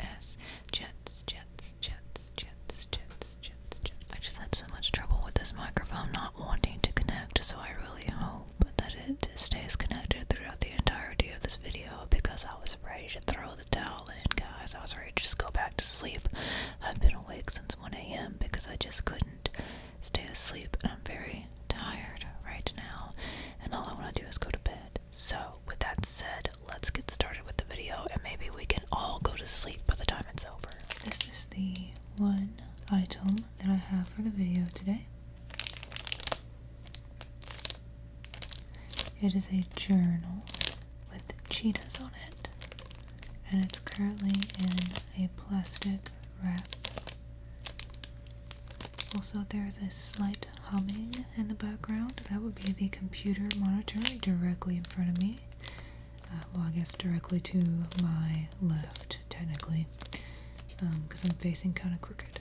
S Jets, Jets, Jets, Jets, Jets, Jets, Jets. I just had so much trouble with this microphone not wanting to connect, so I really hope that it stays connected throughout the entirety of this video because I was ready to throw the towel in, guys. I was ready to just go back to sleep. I've been awake since 1 a.m. because I just couldn't stay asleep, and I'm very tired right now, and all I want to do is go to bed. So, with that said, let's get started with the video and maybe we can all go to sleep by the time it's over. This is the one item that I have for the video today. It is a journal with cheetahs on it, and it's currently in a plastic wrap. Also, there's a slight humming in the background. That would be the computer monitor directly in front of me. Uh, well, I guess directly to my left, technically, because um, I'm facing kind of crooked.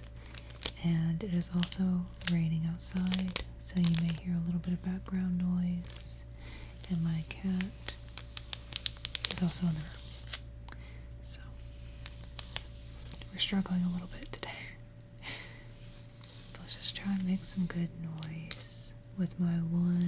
And it is also raining outside, so you may hear a little bit of background noise. And my cat is also in there, So, we're struggling a little bit today. Let's just try and make some good noise with my one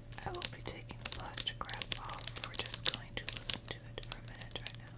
I will be taking the plastic grab off. We're just going to listen to it for a minute right now.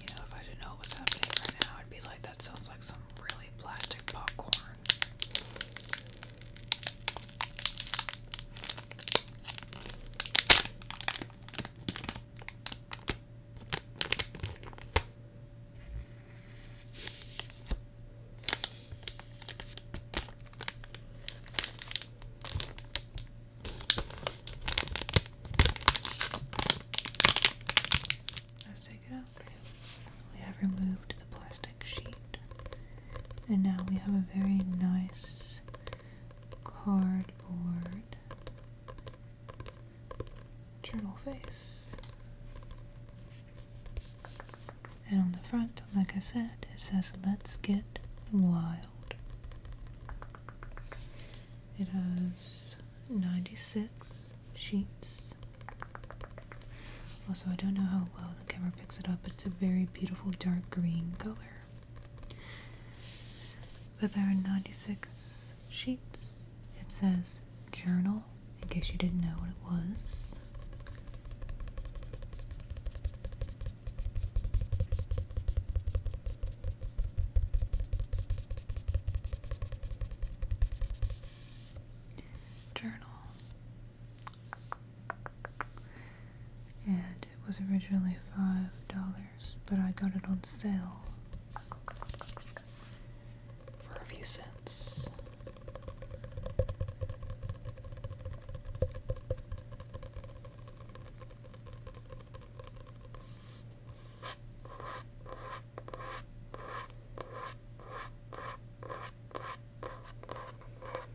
You know, if I didn't know what happening right now, I'd be like, that sounds like some really plastic popcorn. Let's take it out. We have removed the plastic sheet, and now we have a very nice cardboard journal face. And on the front, like I said, it says, Let's Get Wild. It has 96 sheets. Also, I don't know how well the camera picks it up, but it's a very beautiful dark green color. But there are 96 sheets. It says journal, in case you didn't know what it was. Journal. And it was originally $5, but I got it on sale for a few cents.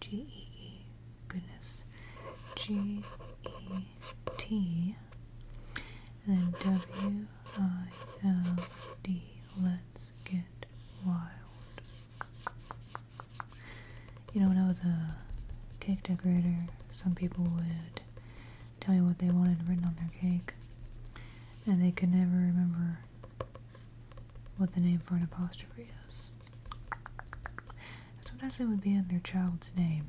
G E E, goodness, G E T, and then W I L D, let's get wild. You know, when I was a cake decorator, some people would tell me what they wanted written on their cake, and they could never remember what the name for an apostrophe is. Sometimes it would be in their child's name.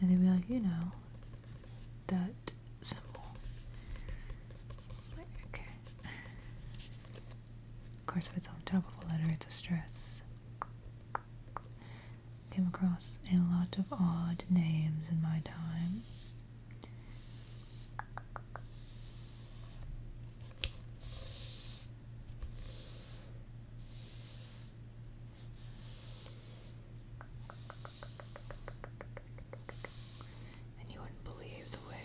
And they'd be like, you know, that symbol. okay. Of course, if it's on top of a letter, it's a stress. Came across a lot of odd names in my time. And you wouldn't believe the way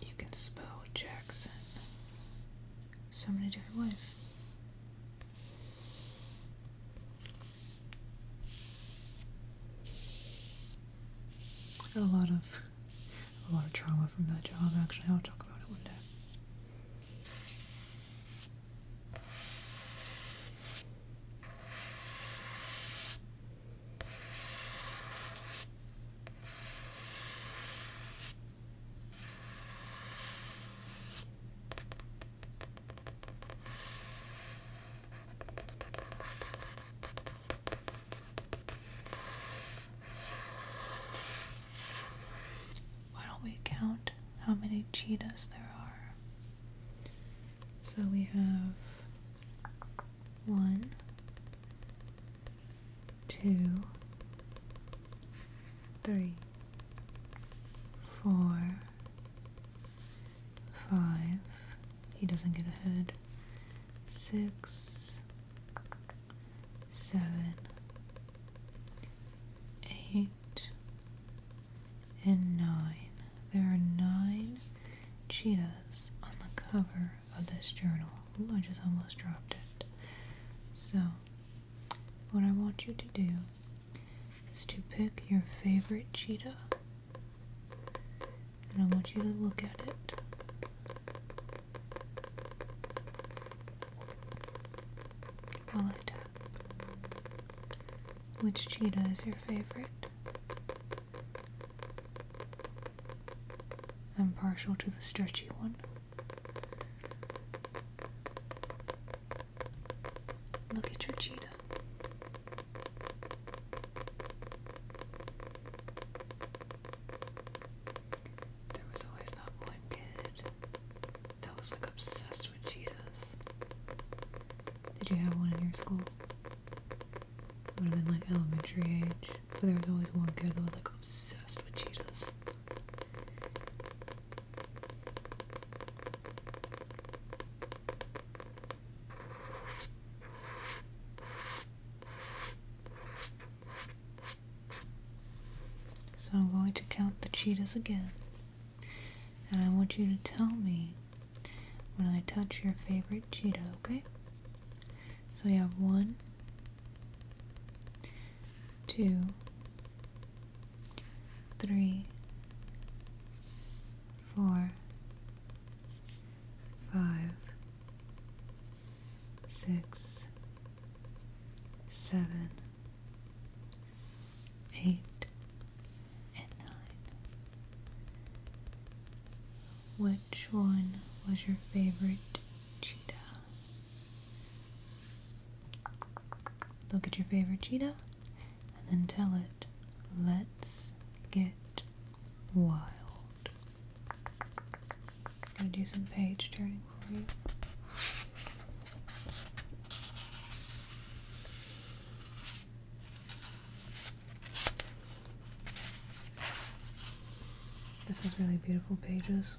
you can spell Jackson so many different ways. I got a lot of a lot of trauma from that job actually. I'll talk about it one day. Why don't we count how many cheetahs there are? So we have one, two, three, four, Five. He doesn't get ahead. Six. Seven. Eight. And nine. There are nine cheetahs on the cover of this journal. Ooh, I just almost dropped it. So, what I want you to do is to pick your favorite cheetah and I want you to look at it. While I Which cheetah is your favorite? I'm partial to the stretchy one. Look at your cheetah. There was always that one kid that was like obsessed with cheetahs. Did you have one in your school? Would have been like elementary age, but there was always one kid that was like obsessed with cheetahs. So I'm going to count the cheetahs again. And I want you to tell me when I touch your favorite cheetah, okay? So we have one, two, three, four, five, six, seven, eight, and nine. Which one was your favorite cheetah? Look at your favorite cheetah and then tell it, let's get wild. I'm gonna do some page turning for you. This is really beautiful pages.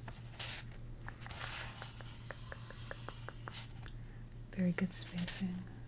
Very good spacing.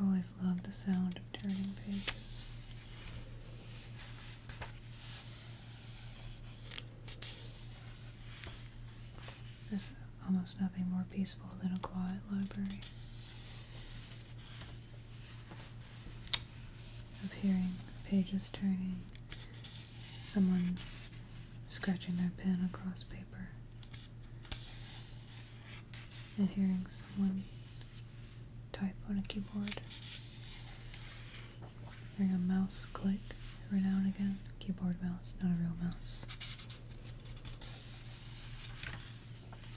I've always loved the sound of turning pages. There's almost nothing more peaceful than a quiet library. Of hearing pages turning, someone scratching their pen across paper, and hearing someone type on a keyboard. Hearing a mouse click every now and again. Keyboard mouse, not a real mouse.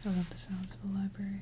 I love the sounds of a library.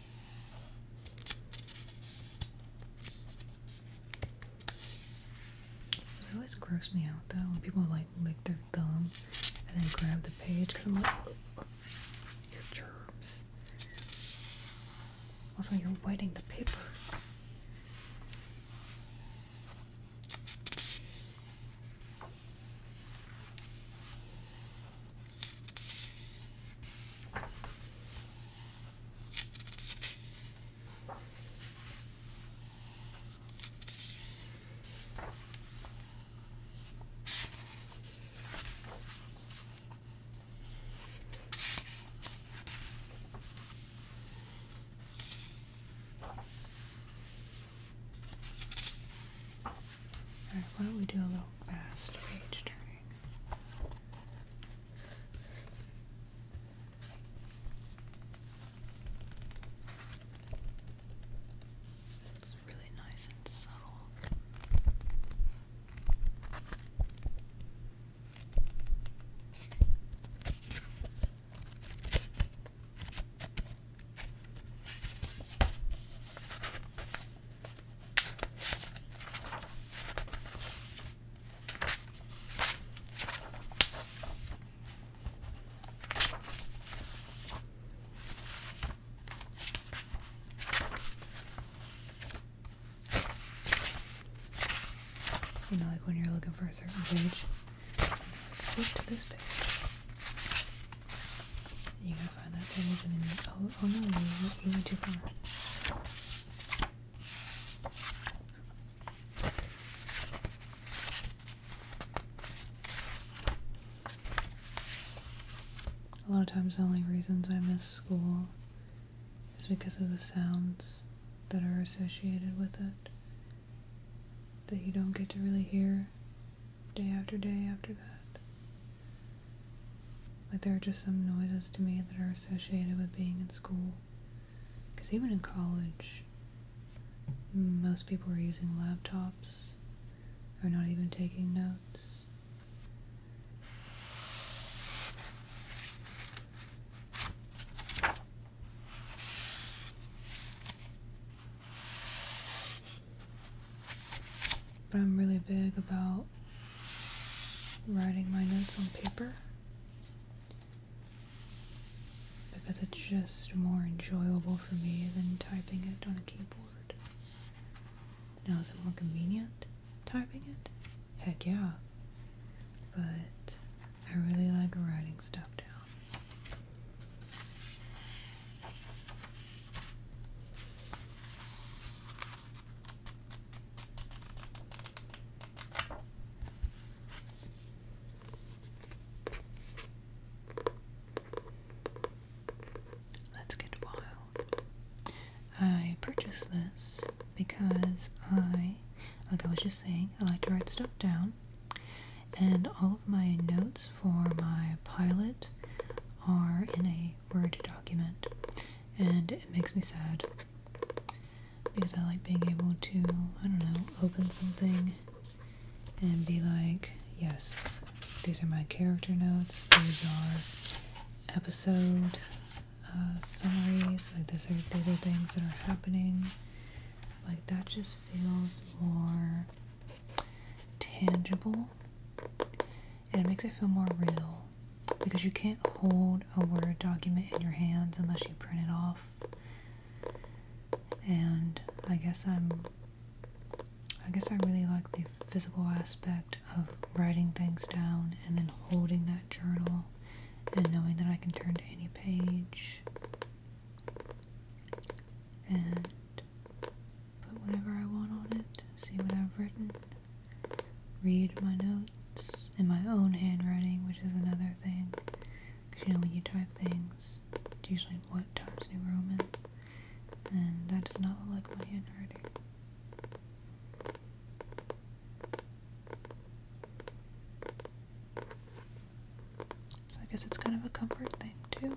It always grosses me out though when people like lick their thumb and then grab the page because I'm like, your germs. Also, you're wetting the paper. Alright, why don't we do a little fast page turning? It's really nice and subtle. You know, like when you're looking for a certain page, flip to this page. Oh, oh, A lot of times the only reasons I miss school is because of the sounds that are associated with it that you don't get to really hear day after day after that. Like, there are just some noises to me that are associated with being in school. Because even in college, most people are using laptops, or not even taking notes. But I'm really big about writing my notes on paper because it's just more enjoyable for me than typing it on a keyboard. Now, is it more convenient typing it? Heck yeah. But I really like writing stuff down. Let's get wild. I purchased this because I, like I was just saying, I like to write stuff down. And all of my notes for my pilot are in a Word document, and it makes me sad because I like being able to, I don't know, open something and be like, yes, these are my character notes, these are episode uh, summaries, like these are, these are things that are happening. Like that just feels more tangible and it makes it feel more real because you can't hold a Word document in your hands unless you print it off. And I guess I'm, I guess I really like the physical aspect of writing things down and then holding that journal and knowing that I can turn to any page. And put whatever I want on it, see what I've written, read my notes in my own handwriting, which is another thing. Because you know, when you type things, it's usually what Times New Roman, and that does not look like my handwriting. So I guess it's kind of a comfort thing, too.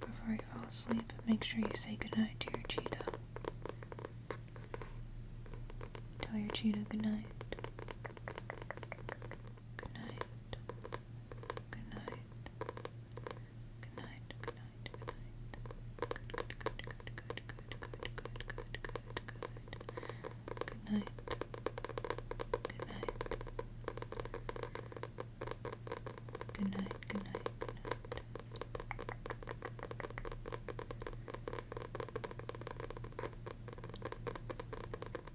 Before you fall asleep, make sure you say goodnight to your cheeto. Tell your cheetah goodnight. Good night. Good night. Good night. Good night. Good night. Good good good good good good good good good good good. night. Good night. Good night. Good night.